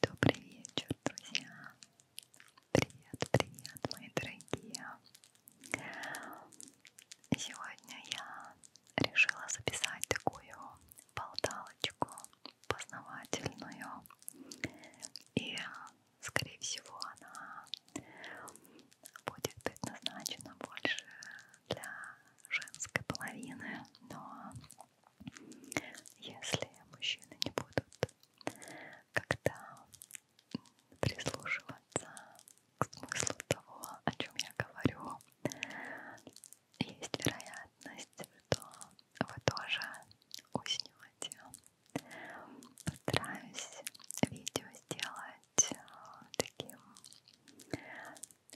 Добрый вечер, друзья! Привет, привет, мои дорогие! Сегодня я решила записать такую болталочку познавательную. И, скорее всего, она будет предназначена больше для женской половины, но если мужчины не будут когда прислушиваться к смыслу того, о чем я говорю, есть вероятность, что вы тоже уснете. Постараюсь видео сделать э, таким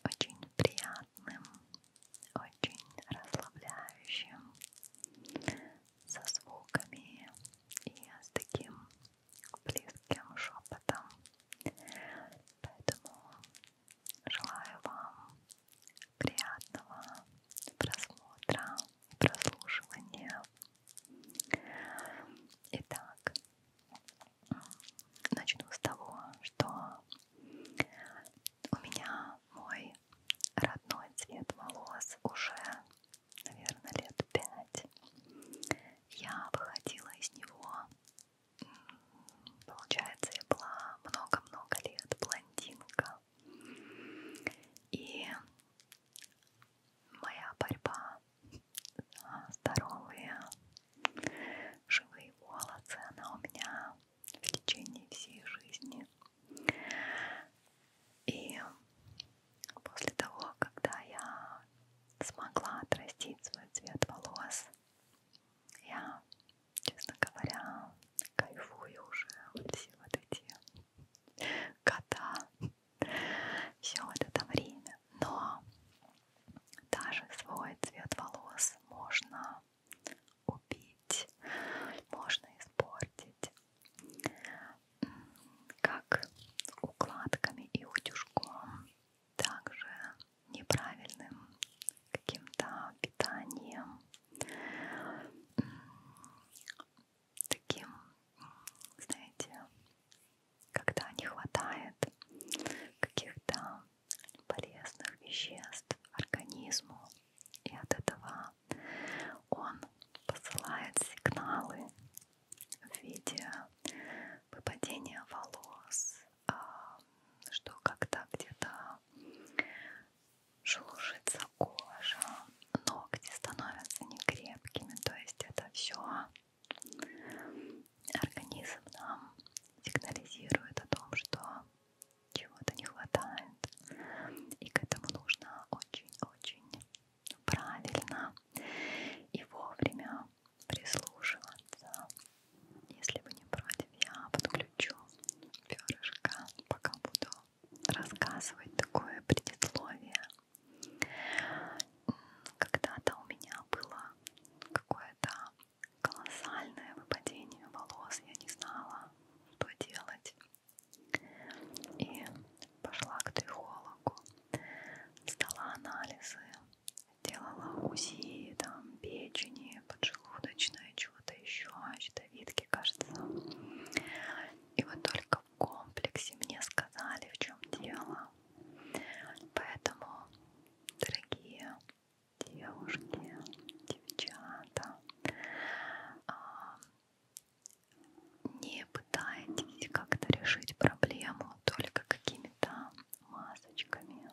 очень приятным приятным, очень расслабляющим, со звуками и с таким близким шепотом. Поэтому желаю вам приятного просмотра и прослушивания. Итак, начну с того, что у меня мой родной цвет волос уже, наверное, лет пять. Я выходила из него, получается, я была много-много лет блондинка. И моя борьба за здоровые живые волосы, она у меня в течение всей жизни. И после того, когда я смогла отрастить свой цвет волос, я, честно говоря, кайфую уже вот все вот эти года, все вот это время. Но даже свой цвет волос можно убить, можно испортить, как укладками и утюжком, также неправильным каким-то питанием, таким, знаете, когда не хватает каких-то полезных веществ организму. И от этого он посылает сигналы в виде выпадения волос, а, что когда где-то шелушится кожа, ногти становятся некрепкими, то есть это все организм нам сигнализирует о том, что чего-то не хватает. И к этому нужно очень-очень правильно и вовремя прислушиваться. Если вы не против, я подключу перышко, пока буду рассказывать такое предисловие. Когда-то у меня было какое-то колоссальное выпадение волос, я не знала, что делать. И пошла к трихологу, сдала анализы, делала УЗИ, там, печени, поджелудочное, чего-то еще, щитовидки, кажется. И вот только в комплексе мне сказали, в чем дело. Поэтому, дорогие девушки, девчата, а, не пытайтесь как-то решить проблему только какими-то масочками.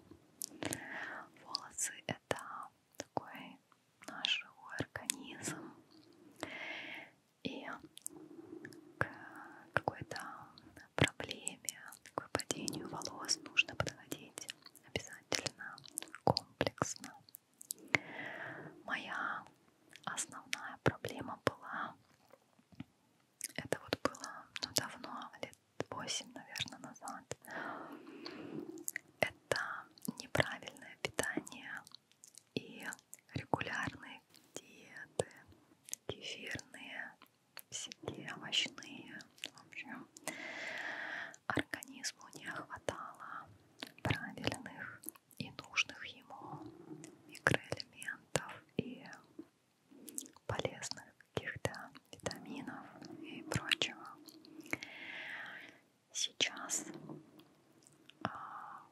Волосы — это такой наш живой организм. И к какой-то проблеме, к выпадению волос нужно подходить обязательно обязательно, комплексно. Моя основная проблема была, это вот было ну, давно, лет 8, наверное, назад, это неправильное питание и регулярные диеты, кефирные, всякие овощные, в общем, организму не хватало правильных и нужных ему микроэлементов и полезных каких-то витаминов и прочего. Сейчас а,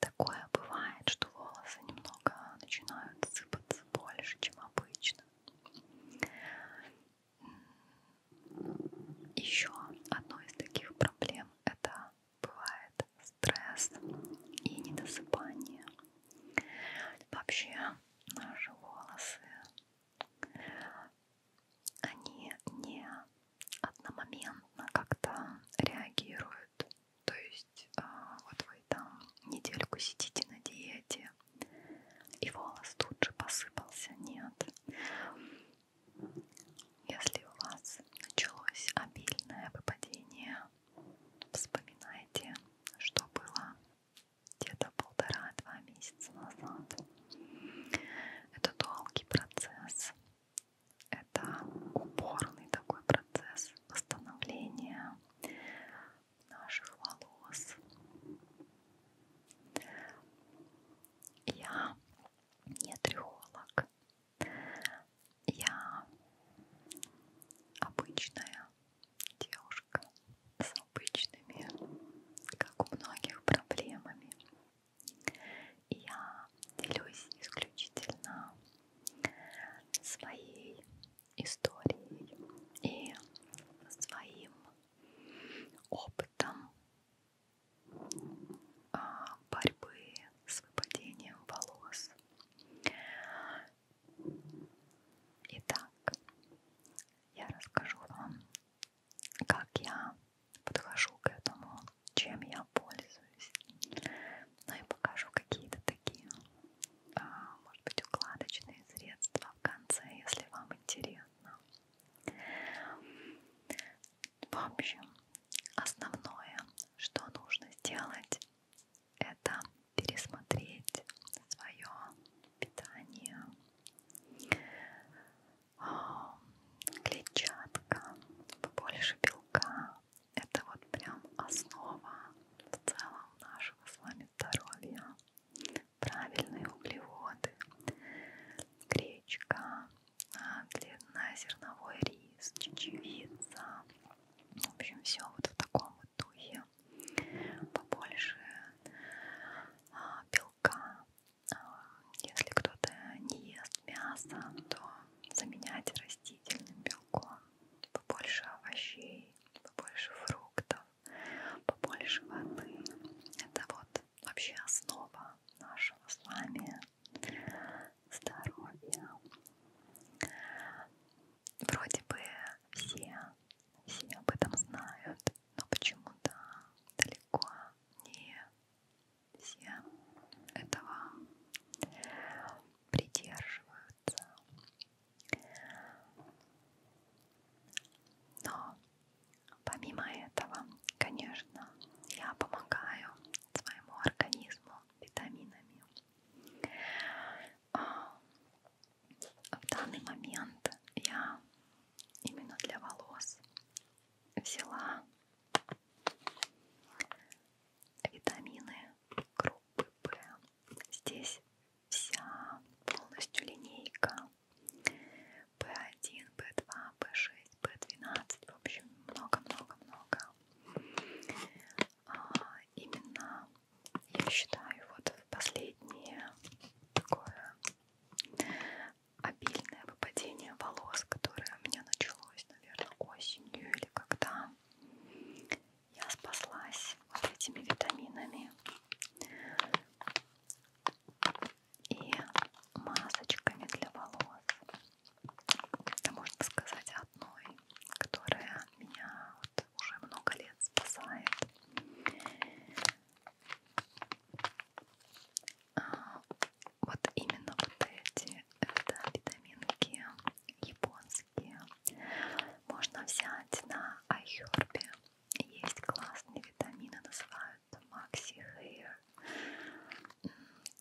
такое бывает, что волосы немного начинают сыпаться больше, чем обычно. Еще одной из таких проблем это бывает стресс и недосыпание. Вообще наши волосы, они не одномоментно как-то реагируют. То есть а, вот вы там недельку сидите на диете, голове. И волос тут же посыпался. Нет. Если у вас началось обильное выпадение, вспоминайте, что было где-то полтора-два месяца назад. Это долгий процесс. Это упорный такой процесс восстановления наших волос, я не трехолог. Я обычная девушка с обычными, как у многих, проблемами. Я делюсь исключительно своей историей и своим опытом а, борьбы с выпадением волос. Итак, я расскажу вам, как я подхожу к этому, чем я пользуюсь. Ну и покажу какие-то такие, а, может быть, укладочные средства в конце, если вам интересно. В общем, основное, что нужно сделать, это пересмотреть свое питание. А, клетчатка, побольше белка. Это вот прям основа в целом нашего с вами здоровья правильные углеводы, гречка, а, длиннозерновой рис, чечевица, в общем, все вот в таком вот духе, побольше а, белка. А, если кто-то не ест мясо, то заменять растительным белком, побольше овощей, побольше фруктов, побольше воды. Это вот вообще основа нашего с вами здоровья. Вроде бы все, все об этом знают, но почему-то далеко не все этого придерживаются. Но Помимо этого, конечно, я помогаю своему организму витаминами. А, в данный момент я именно для волос взяла витамины группы Б. Здесь вся полностью линейка B1, B2, B6, B12, в общем, много-много-много. А, именно, я считаю, вот в последнее такое обильное выпадение волос, которое у меня началось, наверное, осенью или когда я спаслась вот этими витаминами и масочками для волос. Это можно сказать одной, которая меня вот уже много лет спасает. А, вот именно вот эти это витаминки японские. Можно взять на Айхербе. Есть классные витамины, называются от Maxi Hair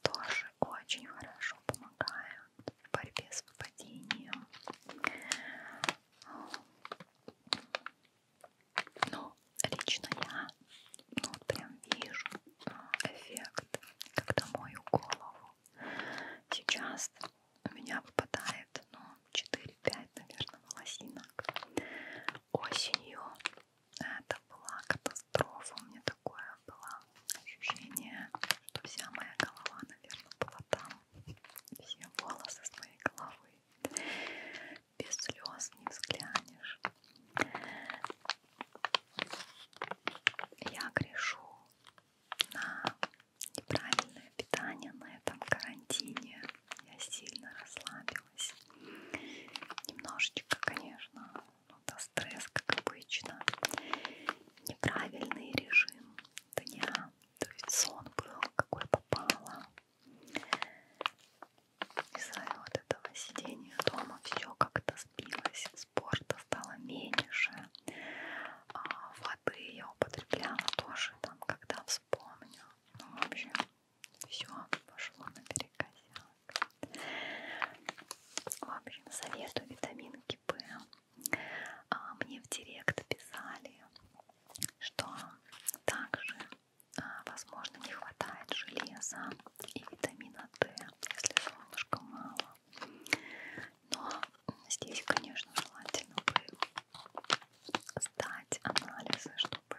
тоже очень хорошо помогают в борьбе с выпадением. А, Но ну, лично я ну, прям вижу а, эффект, когда мою голову. Сейчас у меня выпадает ну, 4-5, наверное, волосинок осенью это была катастрофа. У меня такое было ощущение, что вся моя голова, наверное, была там. Все волосы с моей головы. Без слез не взглянешь. Я грешу на неправильное питание на этом карантине. Я сильно расслабилась расслабилась. Немножечко, конечно, ну да, стресс, как обычно. Неправильный режим дня, то есть сон был, какой попало. Из-за вот этого сидения дома все как-то сбилось, спорта стало меньше, а воды я употребляла тоже там, когда вспомню. Ну, в общем, все, пошло на перекосяк. В общем, советую витаминки П. А, мне в директ писали, что также, а, возможно, не хватает железа и витамина Д, если солнышка мало. Но здесь, конечно, желательно бы сдать анализы, чтобы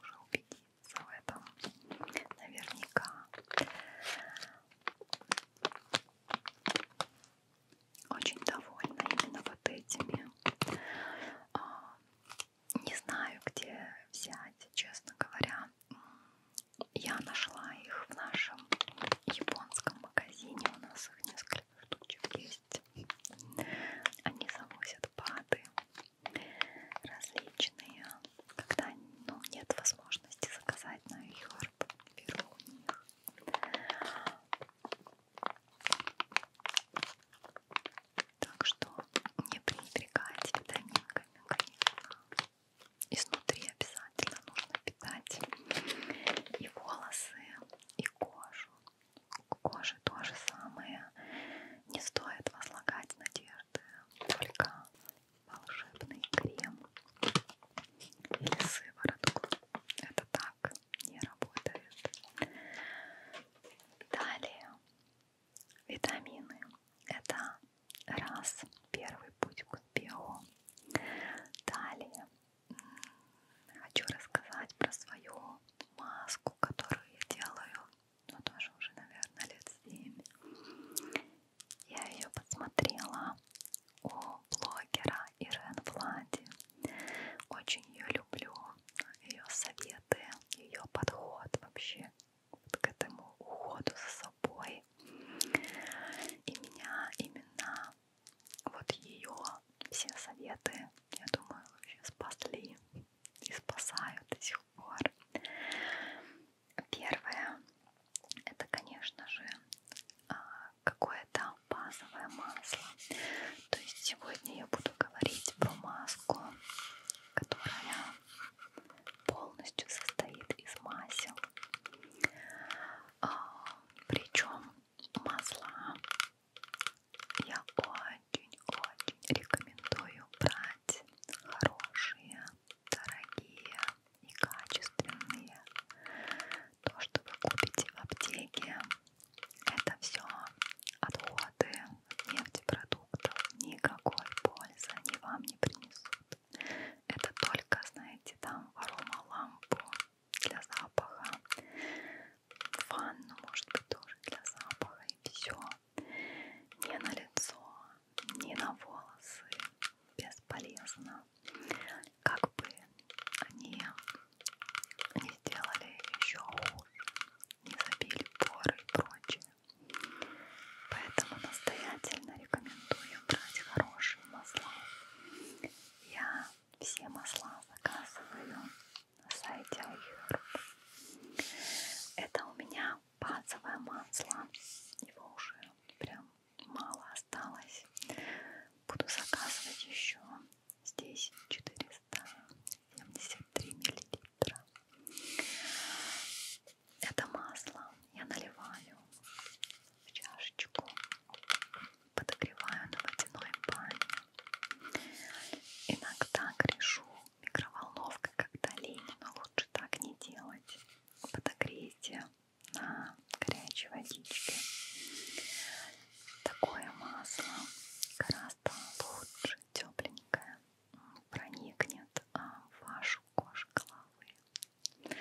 уже убедиться в этом наверняка. Очень довольна именно вот этими. А, не знаю, где взять, честно говоря. Я нашла их в нашем японском магазине. У нас их несколько штучек есть. Они завозят пады различные, когда ну, нет возможности заказать на Юрб, беру у них. Так что не пренебрегайте витаминками, конечно. Изнутри обязательно нужно питать и волосы, и кожу, коже то же самое. Не стоит возлагать надежды только волшебный крем или сыворотку. Это так не работает. Далее витамины. Это раз первый путь к успеху. Далее хочу рассказать про свою маску, которую я делаю ну тоже уже, наверное, лет 7. Я ее подсмотрела у блогера Ирен Влади. Очень ее люблю, ее советы, ее подход вообще к этому уходу за собой. И меня именно вот ее все советы, я думаю, вообще спасли и спасаю до сих пор. Первое, это, конечно же, а, какое-то базовое масло. То есть сегодня я буду говорить про маску, которая полностью состоит из масел. А, Причем масла я очень-очень рекомендую брать хорошие, дорогие и качественные. То, что вы купите в аптеке, это все отходы нефтепродуктов. Никакой пользы они вам не принесут. Это только, знаете, там в лампу для запаха, ванну, может быть, тоже для запаха, и все ни на лицо, ни на волосы бесполезно. Как бы они не сделали еще хуже, не забили поры и прочее. Поэтому настоятельно рекомендую брать хорошие масла. Я все масла заказываю на сайте iHerb. Это у меня базовое масло. Его уже прям мало осталось. Буду заказывать еще. Здесь 473 миллилитра. Это масло я наливаю в чашечку, подогреваю на водяной бане. Иногда грешу микроволновкой, когда лень, но лучше так не делать. Подогрейте на горячей водичке. Такое масло гораздо лучше, тепленькое, проникнет а, в вашу кожу головы.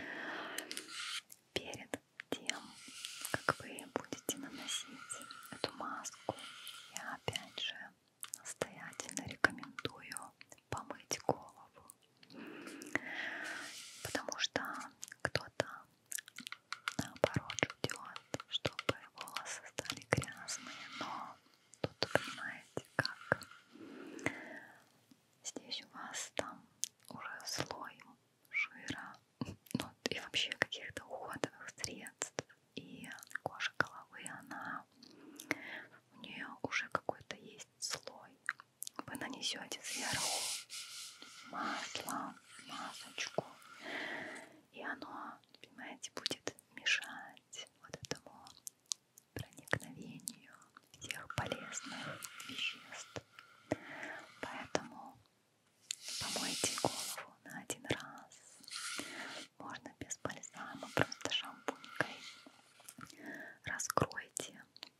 Перед тем, как вы будете наносить эту маску, я опять же настоятельно рекомендую помыть голову, потому что кто-то наоборот ждет, чтобы волосы стали грязные, но тут понимаете как здесь у вас там уже слой жира, ну и вообще каких-то уходовых средств и кожа головы, она у нее уже какой-то есть слой. Вы нанесете сверху масло, масочку, и оно, понимаете, будет мешать вот этому проникновению всех полезных веществ. Поэтому помойте голову на один раз можно без бальзама, просто шампунькой раскройте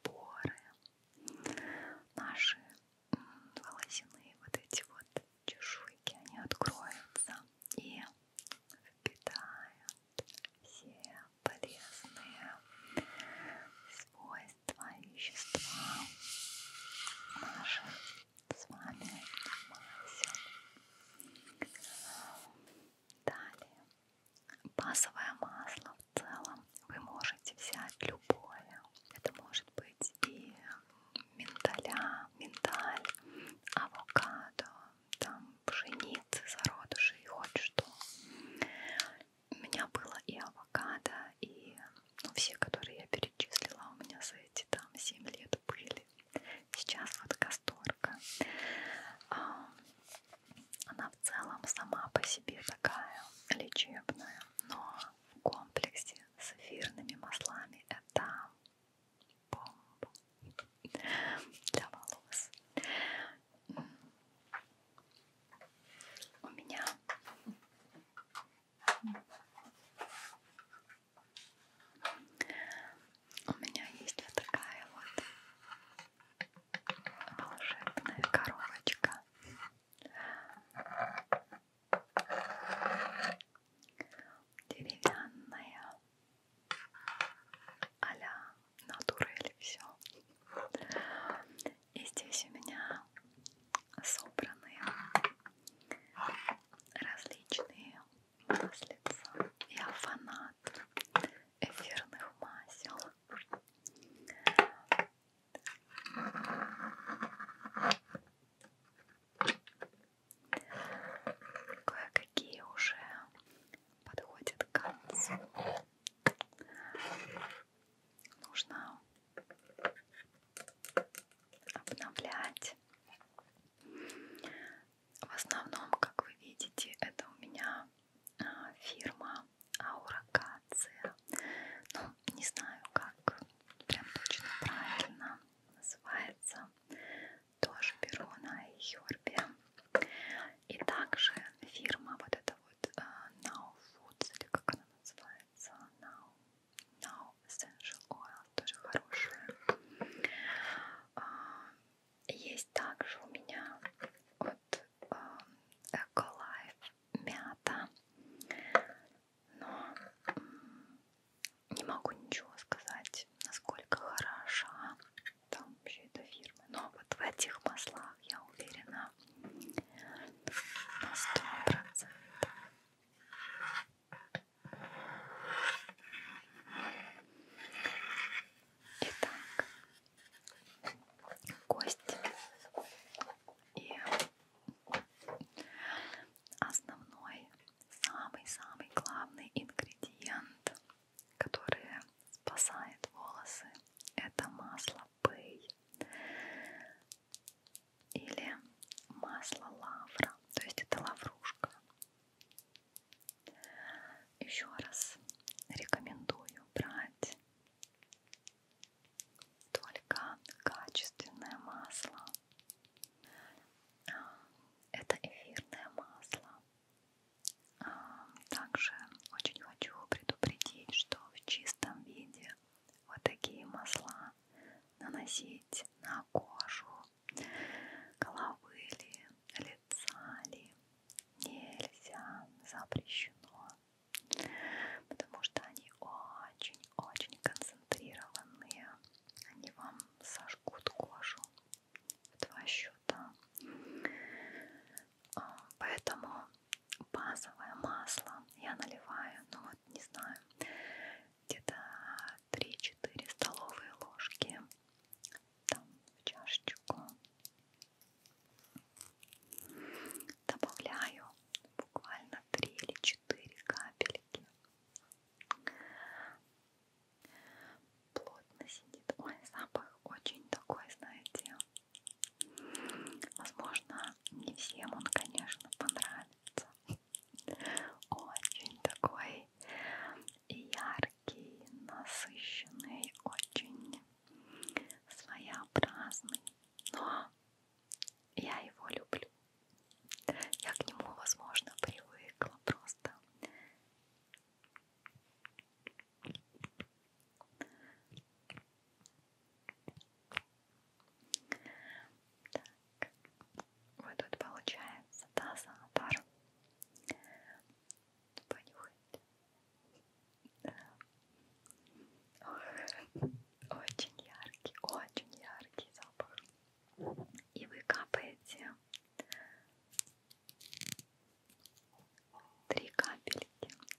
поры наши волосяные вот эти вот чешуйки, они откроются и впитают все полезные свойства и вещества наших с вами масел. Далее. Базовое масло в целом вы можете взять любое. Это может быть и миндаля, миндаль, авокадо, там пшеницы, зародыши и хоть что. У меня было и авокадо, и ну, все, которые я перечислила, у меня за эти там 7 лет вот были. Сейчас вот касторка. А, она в целом сама по себе такая лечебная, но в комплексе с эфирными маслами это бомба для волос. У меня у меня есть вот такая вот волшебная коробочка. Деревянная а-ля натурель все. И здесь у меня собраны различные маслица. Я фанат эфирных масел. Кое-какие уже подходят к концу. Нужно обновлять в основном, как вы видите, это у меня а, фирма Ауракация. Ну, не знаю, как прям точно правильно называется. Тоже беру на Йорбе. И также фирма вот эта вот а, Now Foods, или как она называется, Now, Now Essential Oil, тоже хорошая. А, есть также у меня от Эколайф мята, но не могу ничего сказать, насколько хороша там вообще эта фирма. Но вот в этих маслах я уверена на сто процентов. Итак, кость и основной, самый-самый главный ингредиент, который спасает волосы, это масло пэй или масло лавра, то есть это лаврушка. Еще раз рекомендую брать только качественное масло. А, это эфирное масло. А, также очень хочу предупредить, что в чистом виде вот такие масла наносить на кожу головы или порицали нельзя, запрещено, потому что они очень-очень концентрированные, они вам сожгут кожу в два счета. А, поэтому базовое масло я наливаю, ну вот не знаю, где-то 3-4 столовые ложки там в чашечку добавляю буквально 3 или 4 капельки плотно сидит ой запах очень такой знаете возможно не всем он конечно понравится очень такой яркий яркий, насыщенный, очень своеобразный, но я его люблю. Я к нему, возможно, привыкла просто. Так, вот тут получается тазатор понюхать. Очень яркий, очень яркий запах. И вы капаете три капельки.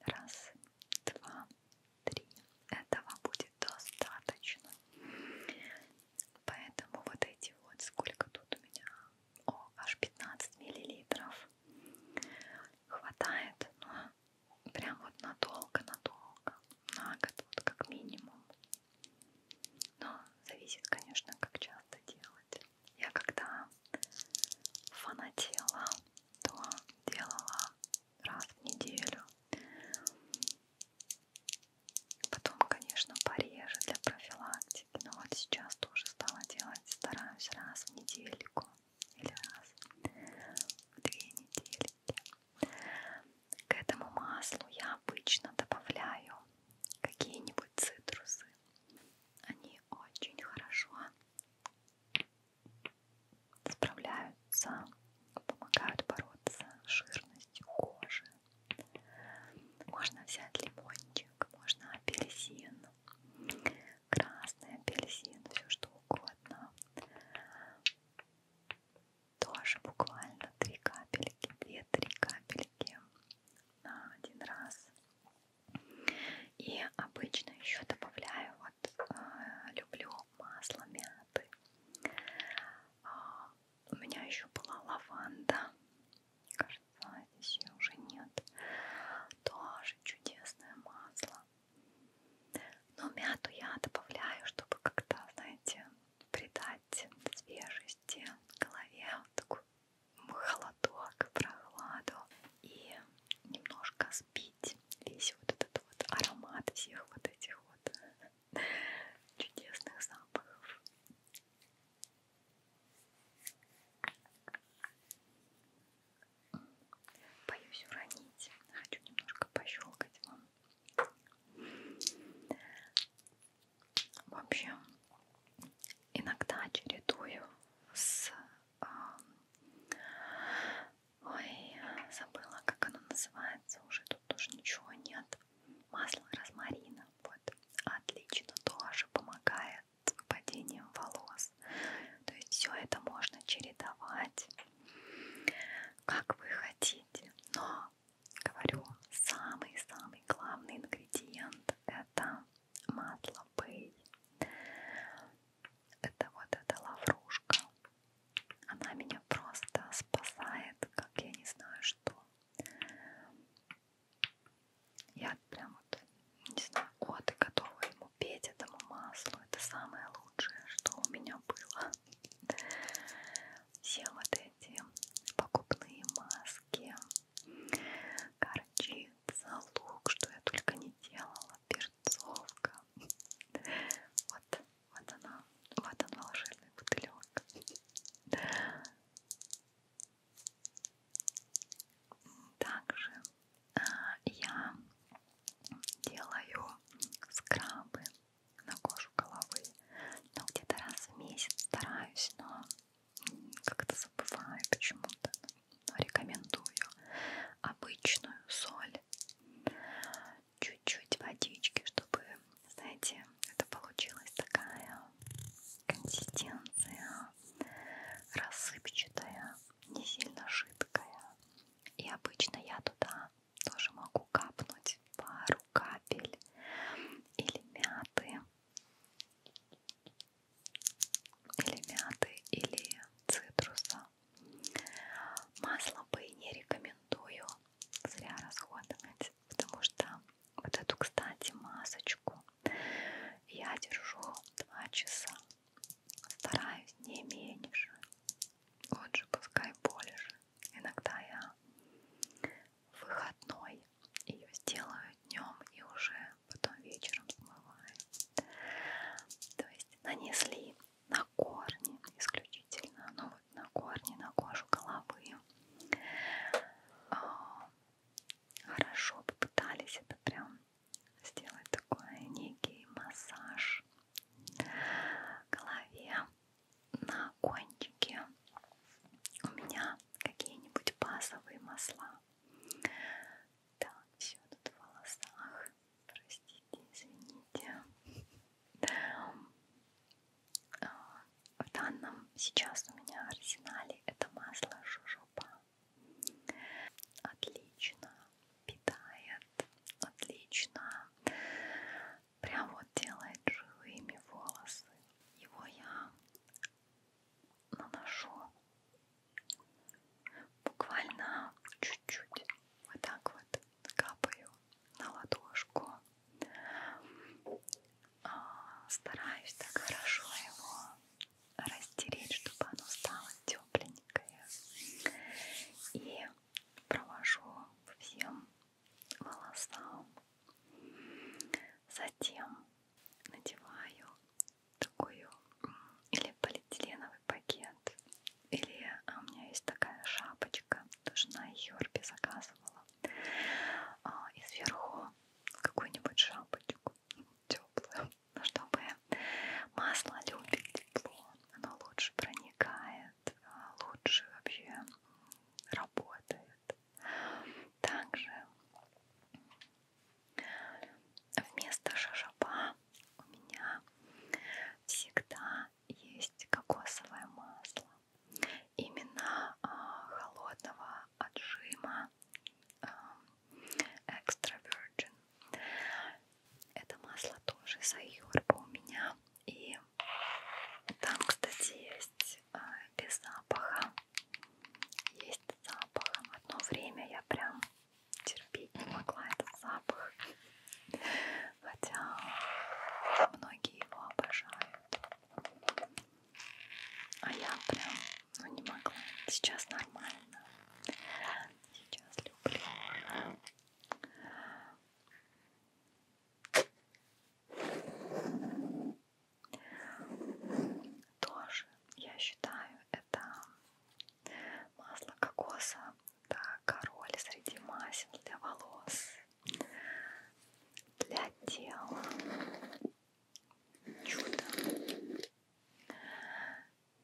Раз, два, три. Этого будет достаточно. Поэтому вот эти вот, сколько тут у меня о, аж 15 миллилитров. Хватает, но ну, прям вот надолго-надолго. На год, вот как минимум. Но зависит, конечно, как часто делать. Я когда фанатела, то делала раз в неделю. Потом, конечно, пореже для профилактики. Но вот сейчас тоже стала делать, стараюсь раз в недельку или раз в две недельки. К этому маслу я обычно добавляю какие-нибудь цитрусы. Они очень хорошо справляются, помогают бороться с жирностью кожи. Можно взять лимончик, можно апельсин, красный апельсин, все что угодно. Тоже буквально три капельки, две-три капельки на один раз. И обычно еще добавляю, вот э, люблю масло мяты. Э, у меня еще была лаванда кажется, здесь ее уже нет. Тоже чудесное масло. Но мяту я добавляю, чтобы как-то, знаете, придать свежести голове, вот такой холодок, прохладу и немножко сбить весь вот этот вот аромат всех вот этих вот чудесных запахов. Боюсь уронить. Хочу немножко пощелкать вам. В общем, иногда чередую с... А, ой, забыла, как оно называется. Уже тут тоже ничего нет. Масло розмарина вот, отлично тоже помогает падением волос. То есть все это можно чередовать, как вы хотите. Но, говорю, самый-самый главный ингредиент это масло бэй. Это вот эта лаврушка. Она меня просто спасает, как я не знаю что. Я прям вот, не знаю, годы готова ему петь этому маслу. Это самое лучшее, что у меня было. Все вот эти покупные маски, горчица, лук, что я только не делала, перцовка. Вот, вот она, вот он волшебный бутылек. Также э, я делаю скрабы на кожу головы, но ну, где-то раз в месяц стараюсь, но как-то забываю почему-то, но рекомендую обычную соль, чуть-чуть водички, чтобы, знаете, это получилась такая консистенция она рассыпчатая, не сильно жидкая. И обычно я туда тоже могу капнуть пару капель или мяты, или мяты, или цитруса. Масло бы не рекомендую зря расходовать, потому что вот эту, кстати, масочку я держу 2 часа. Стараюсь не меньше. Лучше пускай больше. Иногда я в выходной ее сделаю днем и уже потом вечером смываю. То есть нанесли на корни исключительно, ну вот на корни, на кожу головы. А, хорошо попытались это прям сделать такой некий массаж голове на кончике у меня какие-нибудь базовые масла так, все тут в волосах простите, извините а, в данном сейчас у меня арсенале это масло жожоба. Отлично питает, отлично прям вот делает живыми волосы. Его я наношу буквально чуть-чуть вот так вот капаю на ладошку а, стараюсь так хорошо его растереть, чтобы оно стало тепленькое. И провожу всем волосам. Затем надеваю такую или полиэтиленовый пакет, или а у меня есть такая шапочка, тоже на Йорпе заказывала, а, и сверху какую-нибудь шапочку теплую. Но чтобы масло любит тепло, оно лучше проникает, а, лучше вообще работает. Также вместо шашапа у меня всегда есть кокосовое масло. Именно а, холодного отжима Эм, экстра Virgin. Это масло тоже с айорба у меня. И там, кстати, есть э, без запаха. Есть с запахом. Одно время я прям терпеть не могла этот запах. Хотя многие его обожают. А я прям, ну не могла. Сейчас нормально. Сейчас люблю. Тоже, я считаю, это масло кокоса. Это король среди масел для волос, для тела чудо.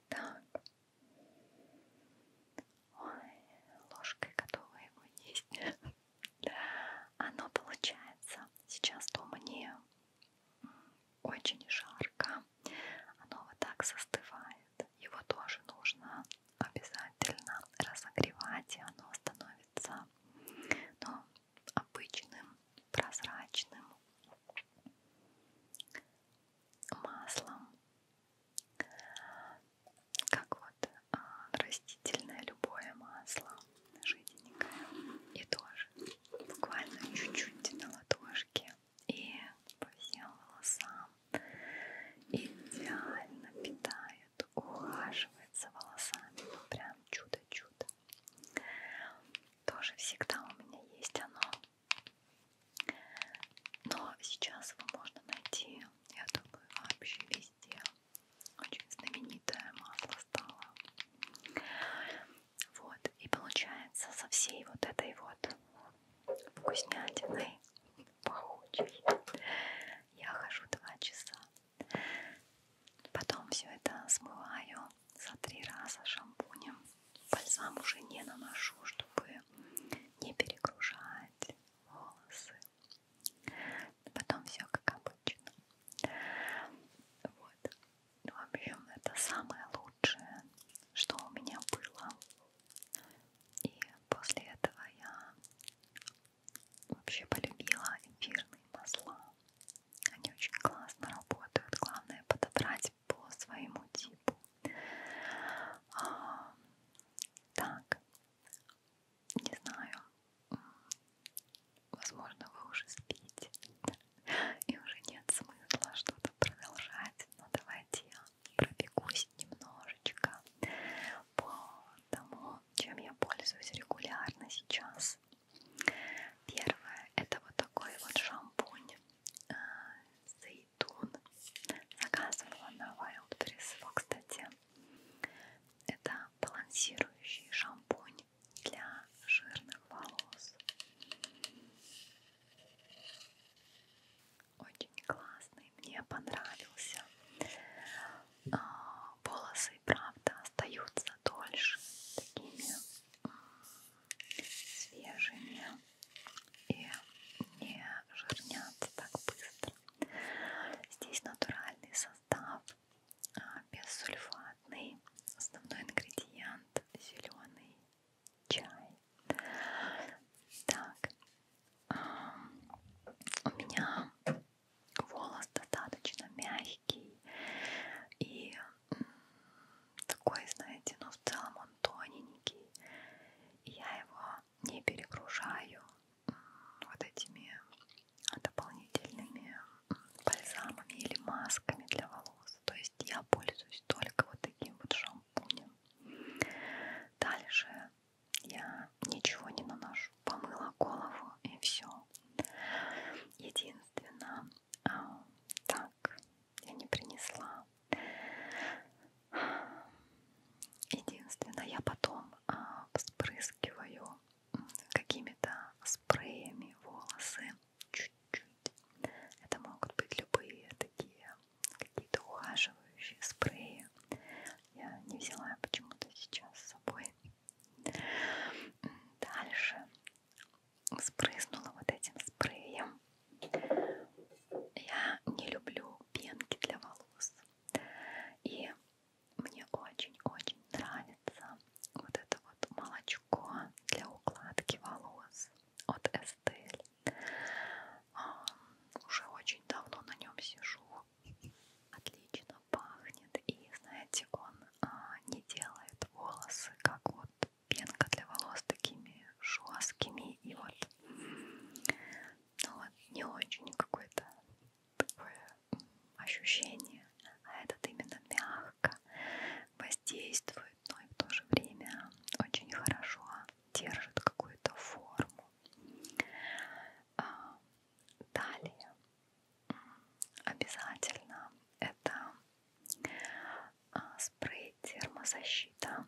Так. Ой, ложкой готова его есть. Оно получается. Сейчас дома не очень жарко. Оно вот так застывает. Его тоже нужно обязательно разогревать, и оно становится ну, обычным прозрачным маслом, как вот а, растительное любое масло, жиденькое, и тоже буквально чуть-чуть на ладошке и по всем волосам идеально питает, ухаживает за волосами, ну прям чудо-чудо тоже всегда у меня есть оно. Но сейчас его можно найти, я думаю, вообще везде. Очень знаменитое масло стало. Вот, и получается со всей вот этой вот вкуснятиной пахучей я хожу два часа. Потом все это смываю за три раза шампунем. Бальзам уже не наношу, чтобы не перегружать волосы. Потом все как обычно. Вот. Ну, в общем, это самое лучшее, что у меня было. И после этого я вообще полюбила эфирные масла. Они очень классно работают. Главное подобрать по своему типу. А, так, не знаю. Возможно, вы уже спите. И уже нет смысла что-то продолжать. Но ну, давайте я пробегусь немножечко по тому, чем я пользуюсь регулярно сейчас. Первое это вот такой вот шампунь э, Зайтун. Заказывала на Wildberries его, кстати. Это балансирующий шампунь для жирных волос. Очень классный, мне понравился. А, волосы, правда, остаются дольше такими свежими и не жирнятся так быстро. Здесь натуральный состав, а, бессульфатный, основной ингредиент зеленый чай. Так, у меня волос достаточно мягкий и такой, знаете, но ну, в целом он тоненький. И я его не перегружаю вот этими дополнительными бальзамами или масками для волос. То есть я пользуюсь только вот таким вот шампунем. Дальше я ничего не наношу. Помыла голову и все. Единственное, а, так, я не принесла. Единственное, я потом а, спрыскиваю какими-то спреями волосы чуть-чуть. Это могут быть любые такие какие-то ухаживающие спреи. Я не взяла почему-то сейчас с собой. Дальше спрызнула вот этим спреем. Я не люблю пенки для волос. И мне очень-очень нравится вот это вот молочко для укладки волос от Estelle. А, уже очень давно на нем сижу. Отлично пахнет. И знаете, он а, не делает волосы как вот пенка для волос такими жесткими и вот, ну вот не очень какое-то такое ощущение, а этот именно мягко воздействует, но и в то же время очень хорошо держит какую-то форму. А, далее обязательно это а, спрей термозащита.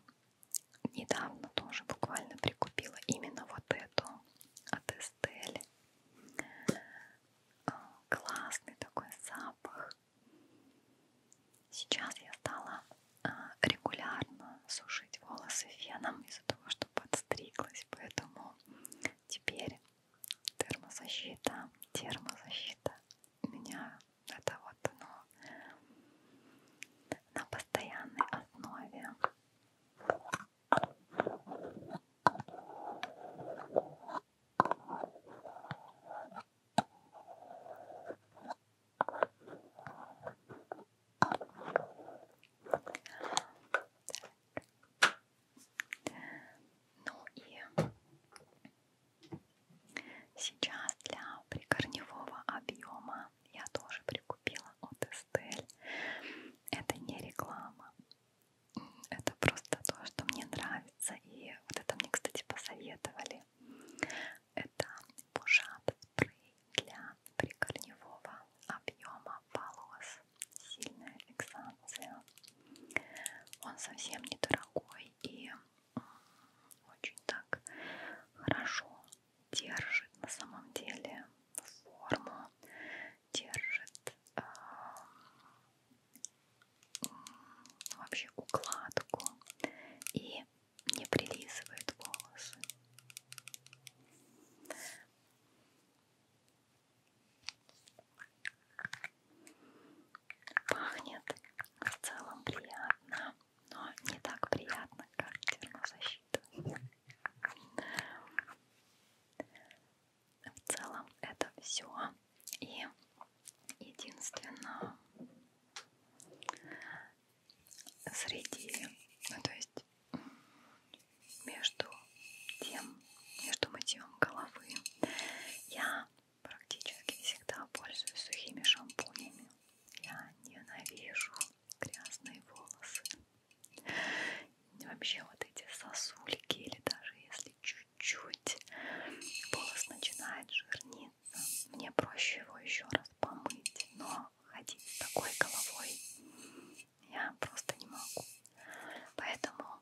Недавно тоже буквально прикупила именно вот эту от Estelle. А, классный такой запах. Сейчас я стала а, регулярно сушить волосы феном из-за того, что подстриглась, поэтому теперь термозащита, термозащита у меня это вот оно на постоянной основе. Так. Ну и Сейчас для прикорневого объема я тоже прикупила от Estelle. Это не реклама. Это просто то, что мне нравится. И вот это мне, кстати, посоветовали. Это пушат спрей для прикорневого объема волос. Сильная фиксация. Он совсем недорогой мной и очень так хорошо держит на самом деле форму, держит э, вообще укладку и не прилизывает волосы. Пахнет в целом приятно, но не так приятно, как термозащита. В целом это все. И единственное среди, ну то есть между тем, между мытьем головы я практически всегда пользуюсь сухими шампунями. Я ненавижу грязные волосы. И вообще вот эти сосульки, или даже если чуть-чуть волос начинает жирниться, мне проще его еще раз помыть. Но ходить с такой головой я просто не могу. Поэтому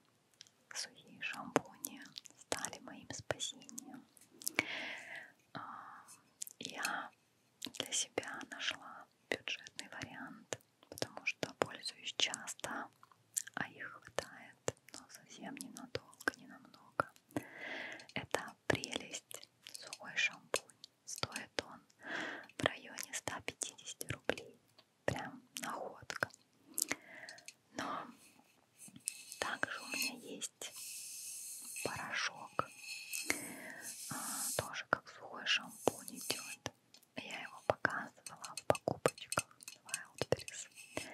сухие шампуни стали моим спасением. А, я для себя нашла бюджетный вариант, потому что пользуюсь часто, а их хватает, но совсем ненадолго, не намного. Это прелесть сухой шампунь. Стоит он в районе 150 рублей. Прям находка. Но также у меня есть порошок, а, тоже как сухой шампунь идет. Я его показывала в покупочках Wildberries.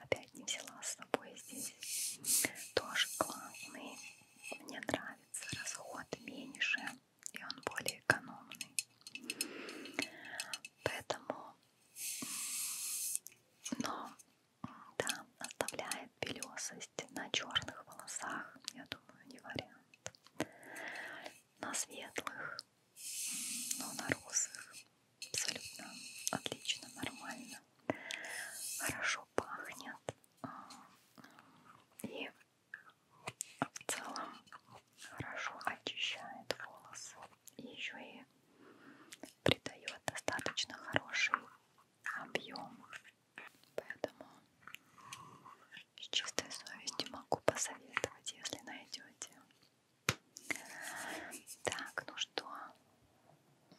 Опять не взяла с собой здесь. Тоже классный. Мне нравится расход меньше и он более экономный. Поэтому но да, оставляет белесость на черных волосах, я думаю, не вариант. На светлых, но на розовых абсолютно отлично, нормально. Хорошо пахнет. А, и в целом хорошо очищает волосы и еще и придает достаточно хороший объем. Поэтому с чистой совестью могу посоветовать, если найдете. Так, ну что,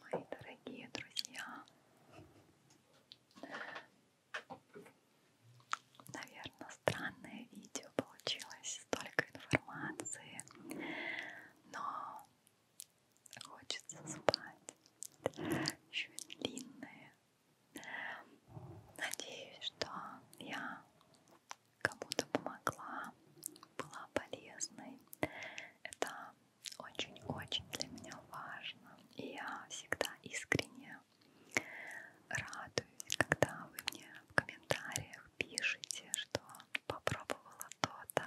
мои дорогие друзья, наверное, странное видео получилось, столько информации но хочется спать. Еще и длинные. Надеюсь, что я кому-то помогла, была полезной. Это очень-очень для меня важно. И я всегда искренне радуюсь, когда вы мне в комментариях пишите, что попробовала то-то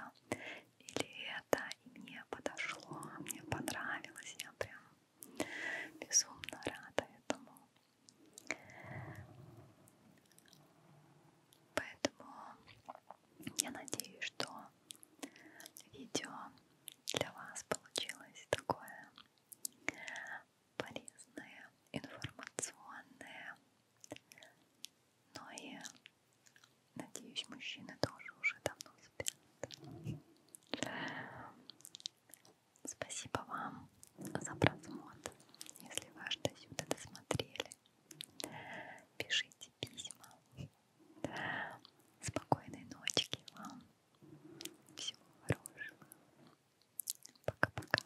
или это, и мне подошло, мне понравилось, я прям безумно рада этому. Поэтому я надеюсь, что видео для вас получилось такое полезное, информационное но ну и, надеюсь, мужчины тоже уже давно спят. Спасибо вам за просмотр. Если вы аж до сюда досмотрели, пишите письма. Спокойной ночки вам. Всего хорошего. Пока-пока.